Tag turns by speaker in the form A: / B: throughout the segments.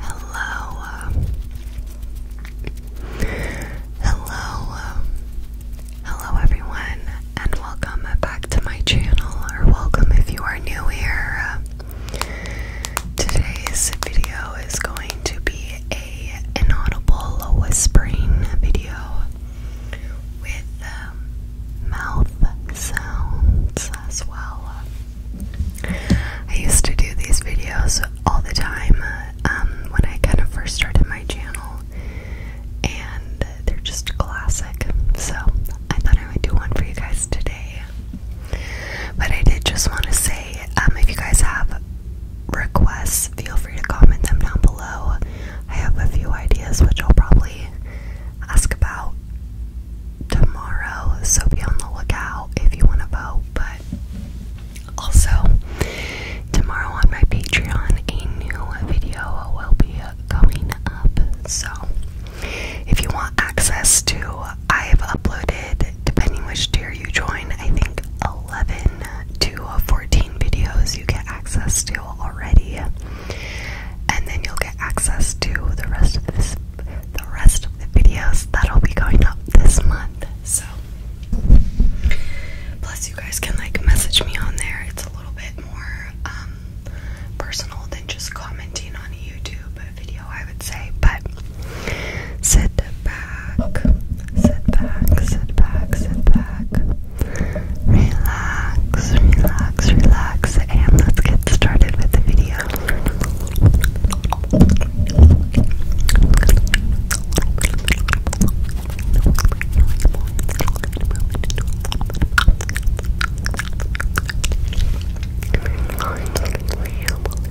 A: Hello. Um, hello. Um, hello everyone and welcome back to my channel or welcome if you are new here. Today's video is going to be a a inaudible whispering video with um, mouth sounds as well. I used to do these videos all the time um, when I kind of first started my channel, and they're just classic. So I thought I would do one for you guys today. But I did just want to say um, if you guys have requests, feel free to comment them down below. I have a few ideas which I'll probably ask about tomorrow, so be on the lookout if you want to vote. But also, tomorrow on my Patreon, a new video will be going up. So, if you want access to, I've uploaded depending which tier you join, I think 11 to 14 videos you get access to already, and then you'll get access to the rest of this, the rest of the videos that'll be going up this month. So, plus you guys can like message me on there. It's a little bit more um, personal than just commenting on a YouTube video, I would say, but. Sit back, sit back, sit back, sit back. Relax, relax, relax, and let's get started with the video.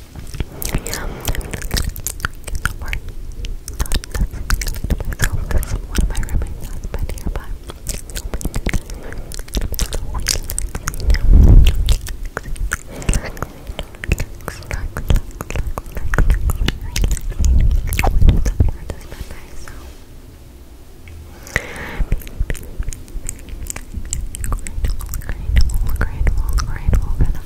B: yeah, I'm not myself because one of my roommates has been here, but Grateful, grateful, grateful for that.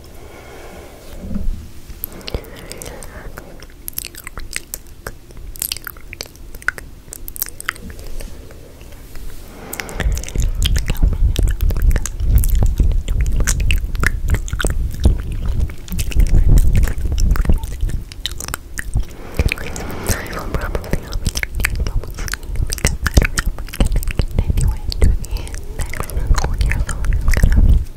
A: will probably always continue because I don't know if we can continue it the next I'm gonna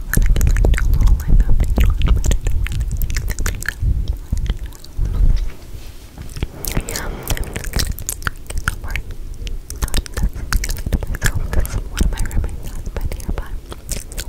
A: and I can like do a little live update on Twitter yeah, I'm so far not necessarily to myself because one of my roommates has been here, but so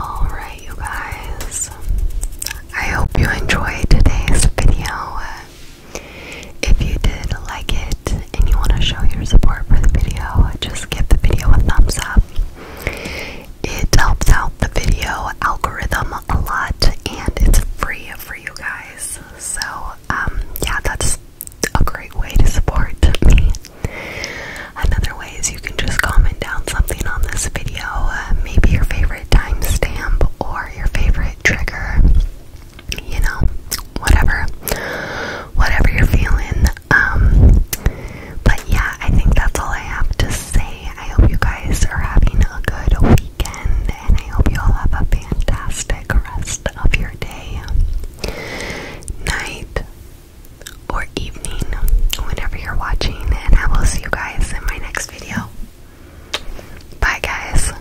A: Alright, you guys. I hope you enjoyed today's video. If you did like it and you want to show your support for the video, just give the video a thumbs up. It helps out the video algorithm a lot and it's free for you guys. So, um, yeah, that's a great way to support me. Another way is you can just comment down something on this video, uh, maybe your favorite timestamp or your favorite trigger you know, whatever, whatever you're feeling. Um, but yeah, I think that's all I have to say. I hope you guys are having a good weekend, and I hope you all have a fantastic rest of your day, night, or evening, whenever you're watching. And I will see you guys in my next video.
B: Bye, guys.